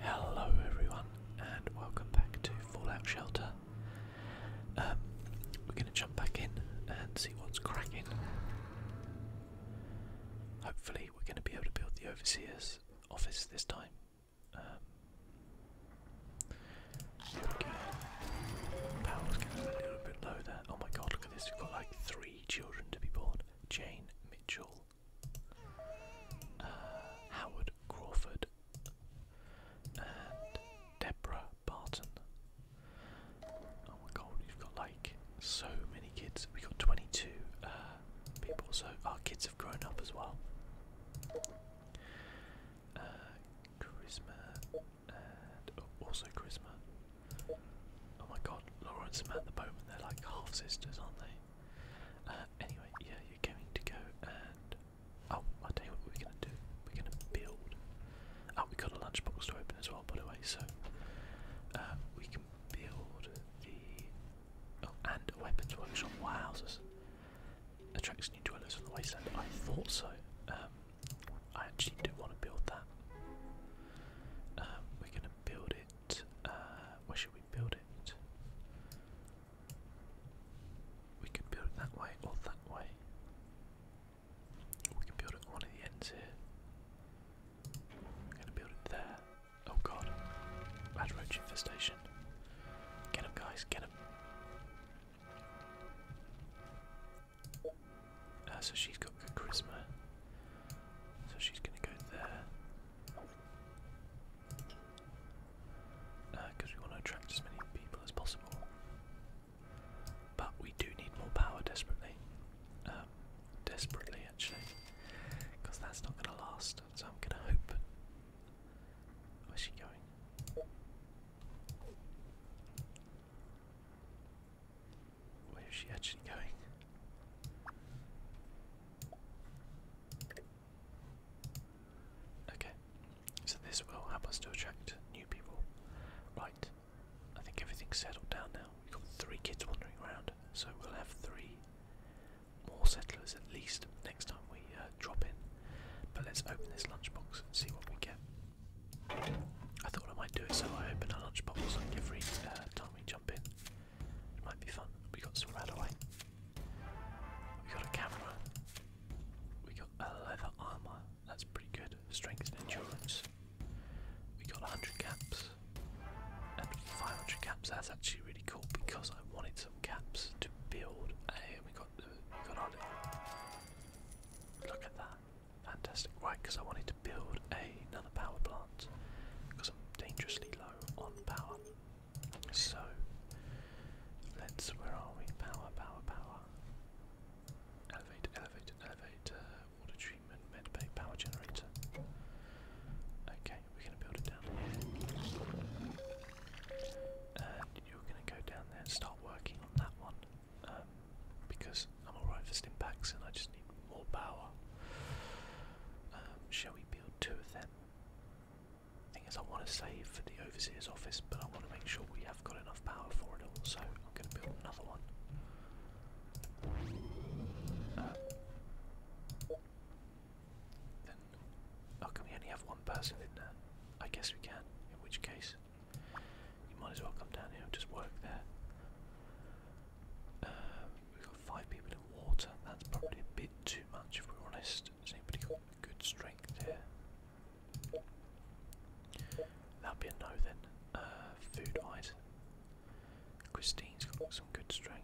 Hello everyone and welcome back to Fallout Shelter. Um, we're going to jump back in and see what's cracking. Hopefully we're going to be able to build the Overseer's office this time. Um, there we go. a little bit low Oh my god, look at this. We've got like three children to be born. Jane, Mitchell, uh, Howard Crawford, and Deborah Barton. Oh my god, we've got like so many kids. we got 22 uh, people, so our kids have grown up as well. Uh, also charisma. Oh my god, Laura and Samantha Bowman, they're like half sisters, aren't they? Uh, anyway, yeah, you're going to go and oh, i tell you what we're gonna do. We're gonna build. Oh, we got a lunchbox to open as well, by the way. So uh, we can build the oh, and a weapons workshop. Wow, attracts new dwellers from the wasteland. I thought so. Um, I actually do want to build that. Um, we're gonna build it. Uh, where should we we build it? We could build it that way or that way. We can build it at one of the ends here. I'm gonna build it there. Oh god. Bad roach infestation. Get him guys, get him. Uh, so she's got good charisma. So she's going to go there. Because uh, we want to attract as many people as possible. But we do need more power desperately. Um, desperately, actually. Because that's not going to last. So I'm going to hope. Where's she going? Where is she actually going? Okay, so this will help us to attract new people. Right, I think everything's settled down now. We've got three kids wandering around, so we'll have three more settlers at least next time we uh, drop in. But let's open this lunchbox and see what we get. I thought I might do it so I open a lunchbox like every uh, time we jump in. It might be fun. We got some Radaway. We got a camera. We got a leather armor. That's pretty good. Strength and endurance. We got 100 caps and 500 caps. That's actually really cool because I wanted some caps to build. And we got the, we got our little. Look at that. Fantastic. Right, because I wanted to build another power plant. Because I'm dangerously low on power. So, let's, where are we? Power, power, power. Elevator, elevator, elevator, water treatment, medbay, power generator. Okay, we're going to build it down here. And you're going to go down there and start working on that one. Um, because I'm alright for stim packs and I just need more power. Um, shall we build two of them? Thing is, I want to save for the overseer's office, but I want to make sure we have got enough power for it all, so I'm going to build another one. Uh, then, oh, can we only have one person in there? I guess we can, in which case, you might as well come down here and just work there. Um, we've got five people in water. That's probably a bit too much if we're honest. Has anybody got good strength there? That'll be a no then. Uh, food wise. Christine's got some good strength.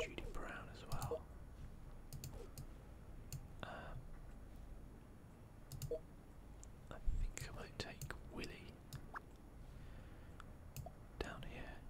Judy Brown as well. Uh, I think I might take Willie down here,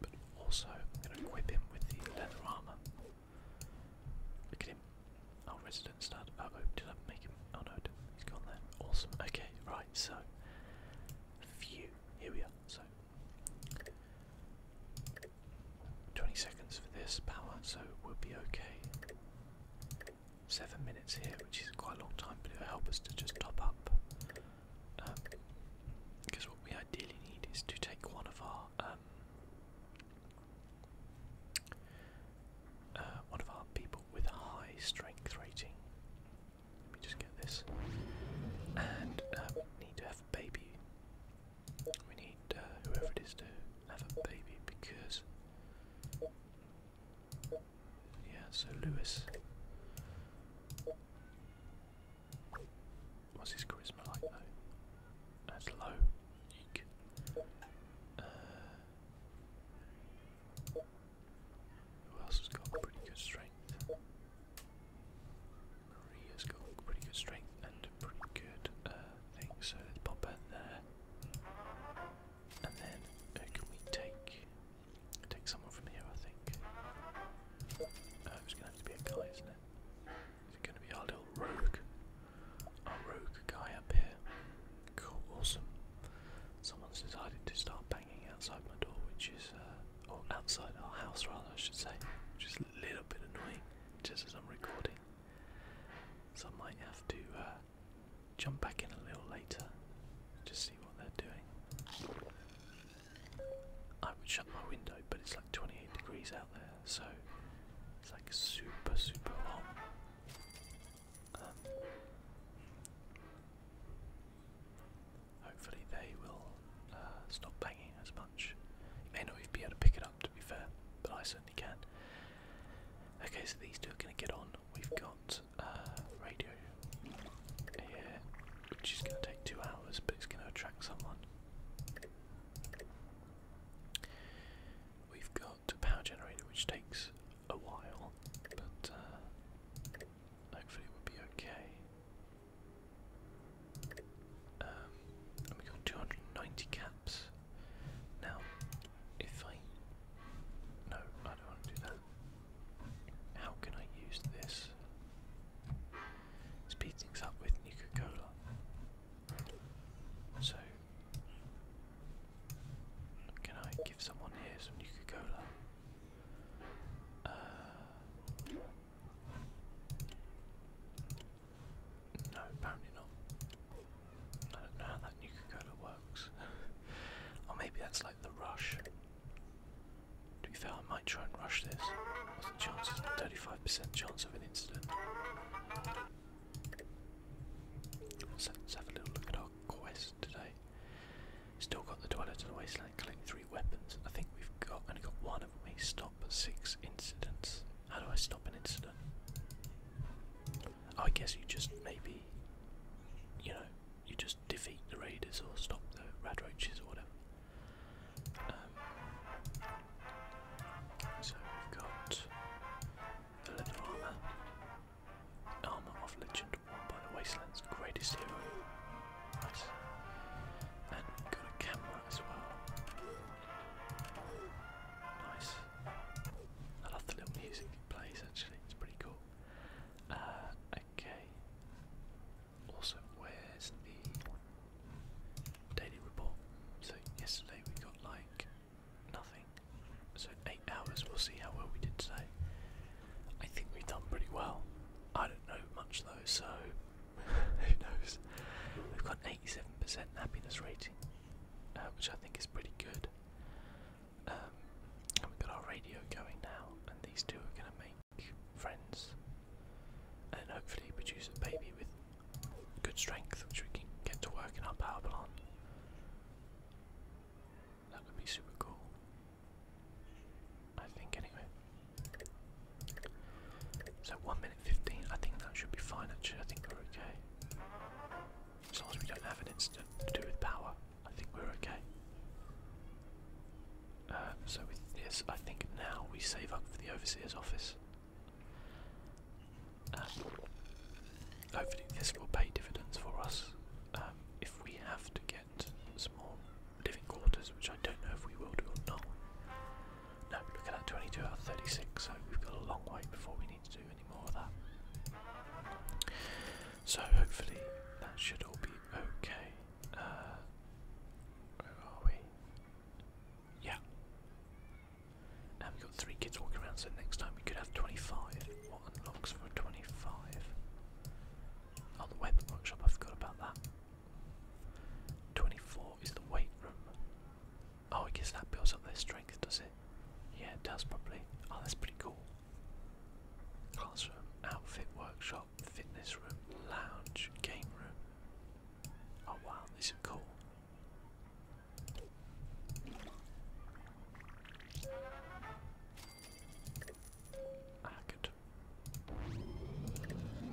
but also I'm going to equip him with the leather armour. Look at him, our resident stud. Uh, oh, did I make him? Oh no, he's gone there. Awesome. Okay, right, so, phew, here we are. So, 20 seconds for this power, so we'll be okay. Seven minutes here, which is quite a long time, but it'll help us to just top up. because um, what we ideally need is to take one of our um, uh, one of our people with high strength rating. Let me just get this, and uh, need to have a baby. We need uh, whoever it is to have a baby because. Yeah, so Lewis. What's his charisma like That's low. Uh, who else has got pretty good strength? Maria's got pretty good strength and pretty good uh, thing, so let's pop her there. And then uh, can we take take someone from here? I think. Uh, it's gonna have to be a guy, isn't it? It's gonna be our little rogue, our rogue guy up here. Cool, awesome. Someone's decided to start banging outside my door, which is, uh, or outside our house rather, I should say, a little bit annoying just as I'm recording. So I might have to uh, jump back in a little later just see what they're doing. I would shut my window, but it's like 28 degrees out there, so it's like super, super hot. Um, hopefully, they will uh, stop banging as much. may not be able to pick it up to be fair, but I certainly can. Okay, so these two are going to get on. We've got uh, radio here, which is going to take two hours, but it's going to attract someone. We've got a power generator, which takes a while, but uh, hopefully it will be okay. Um, we got 290 caps. Now, if I. No, I don't want to do that. How can I use this? Speed things up with Coca Cola. So, can I give someone here some Coca Cola? Uh, no, apparently not. I don't know how that Nuka Cola works. or maybe that's like the rush. To be fair, I might try and rush this. What's the chance? 35% chance of an incident. let's have a little look at our quest today. Still got the toilet to the wasteland, collect 3 weapons. I think we've got only got one of them. we stop six incidents. How do I stop an incident? Oh, I guess you just maybe you know, you just defeat the raiders or stop the radroaches or whatever. Um, so we've got the leather armour. Armour of Legend worn by the Wasteland's greatest hero. Nice. And got a camera as well. Nice. I love the little music plays actually, it's pretty cool. Uh, okay. Also, where's the daily report? So, yesterday we got like nothing. So, eight hours, we'll see how well we did today. I think we've done pretty well. I don't know much though, so who knows? We've got 87% happiness rating, uh, which I think is pretty good. Um, and we've got our radio going now, and these two are going to make friends and hopefully produce a baby with good strength, which we can get to work in our power plant. That would be super cool. I think anyway. So one minute fifteen. I think that should be fine. Actually, I think we're okay. As long as we don't have an incident to do with power, I think we're okay. Uh, so with this, I think now we save up for the overseer's office. Um, hopefully, this will pay dividends for us um, if we have to get some living quarters, which I don't know if we will do or not. No, look at 22 out 36, so we've got a long way before we need to do any more of that. So hopefully that should all be okay. Uh, where are we? Yeah. Now we've got three kids walking around, so next time we could have 25. What unlocks for 25? Oh, the weapon workshop, I forgot about that. 24 is the weight room. Oh, I guess that builds up their strength, does it? Yeah, it does probably. Oh, that's pretty cool. Classroom, outfit workshop, fitness room, lounge, game room. Oh wow, these are cool. Ah,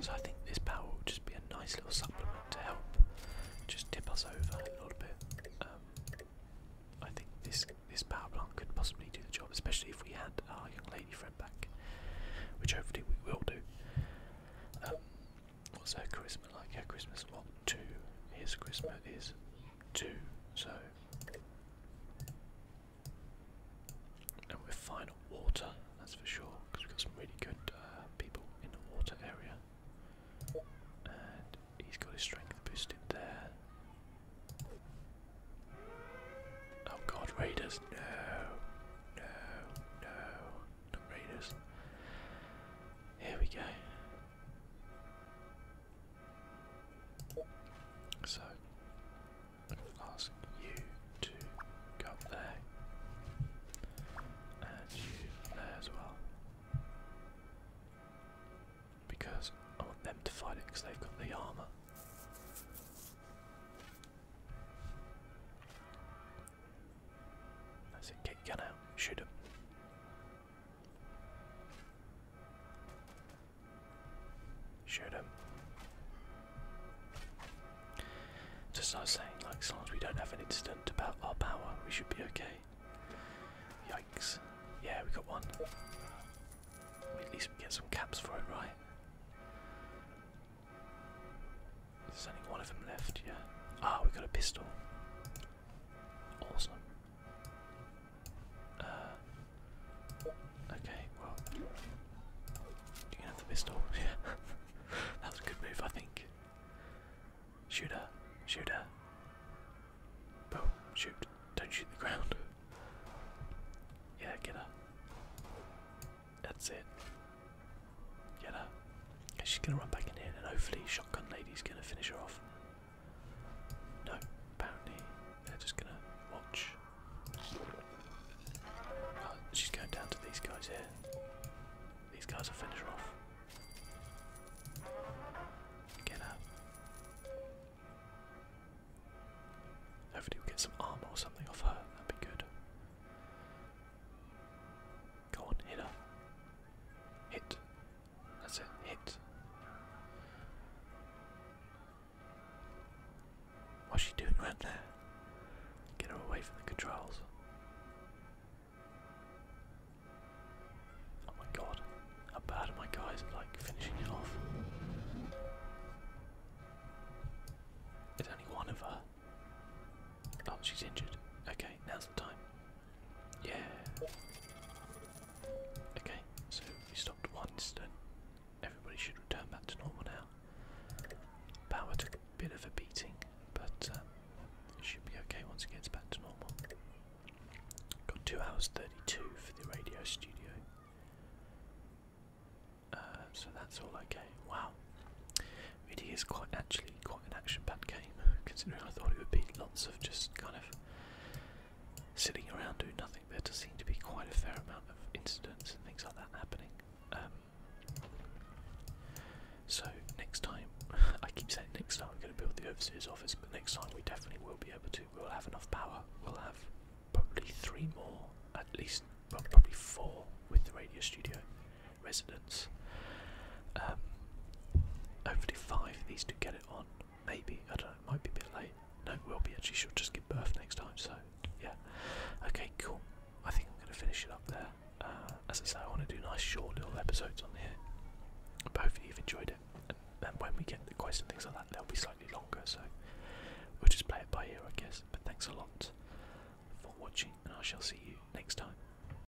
so I think this power will just be a nice little supplement to help just tip us over a little bit. Um, I think this this power plant could possibly do the job, especially if we had our young lady friend back, which hopefully we will do. Um, what's her charisma like? Her charisma's what? Two. His charisma is two. So and we're fine on water, that's for sure, because we've got some really good uh, people in the water area. And he's got his strength boosted there. Oh god, raiders! No, no, no, not raiders. Here we go. So I'm gonna ask you to go there. And you there as well. Because I want them to fight it because they've got the armour. That's it, get gun out, shoot him. Shoot him. Just not saying, like, as long as we don't have an incident about our power, we should be okay. Yikes. Yeah, we got one. at least we get some caps for it, right? There's only one of them left, yeah. Ah, we got a pistol. Awesome. Uh, okay, well, you have the pistol. Yeah, that was a good move, I think. Shoot her, shoot her. Boom, shoot. Don't shoot the ground. Yeah, get her. That's it. Get her. she's gonna run back in here, and hopefully, Shotgun Lady's gonna finish her off. No, apparently they're just gonna watch. Uh, she's going down to these guys here. These guys will finish off. Get out. Hopefully we get some armor or something off her, that'd be good. Go on, hit her. Hit. That's a Hit. What's she doing right there? Get her away from the controls. Oh my god. How bad are my guys at like finishing it off? There's only one of her. Oh, she's injured. Okay, now's the time. Yeah. Okay, so we stopped one incident. Everybody should return back to normal now. Power took a bit of a beating, but uh, should be okay once it gets back to normal. Got 2 hours 32 for the radio studio. Uh, so that's all okay. Wow. It is quite actually quite quite an action-packed game, considering I thought it would be lots of just kind of sitting around doing nothing. There does seem to be quite a fair amount of incidents and things like that happening. Um, so next time, I keep saying next time we're going to build the overseer's office, but next time we definitely will be able to. We'll have enough power. We'll have probably three more, at least, well, probably four with the radio studio. Res residence. Um, five these do get it on. Maybe I don't It might be a bit late. No, it will be actually. She'll just give birth next time. So yeah. Okay, cool. I think I'm gonna finish it up there. Uh, as I say, I want to do nice short little episodes on here. hopefully you've enjoyed it. And, when we get the questions and things like that, they'll be slightly longer. So we'll just play it by ear, I guess. But thanks a lot for watching, and I shall see you next time.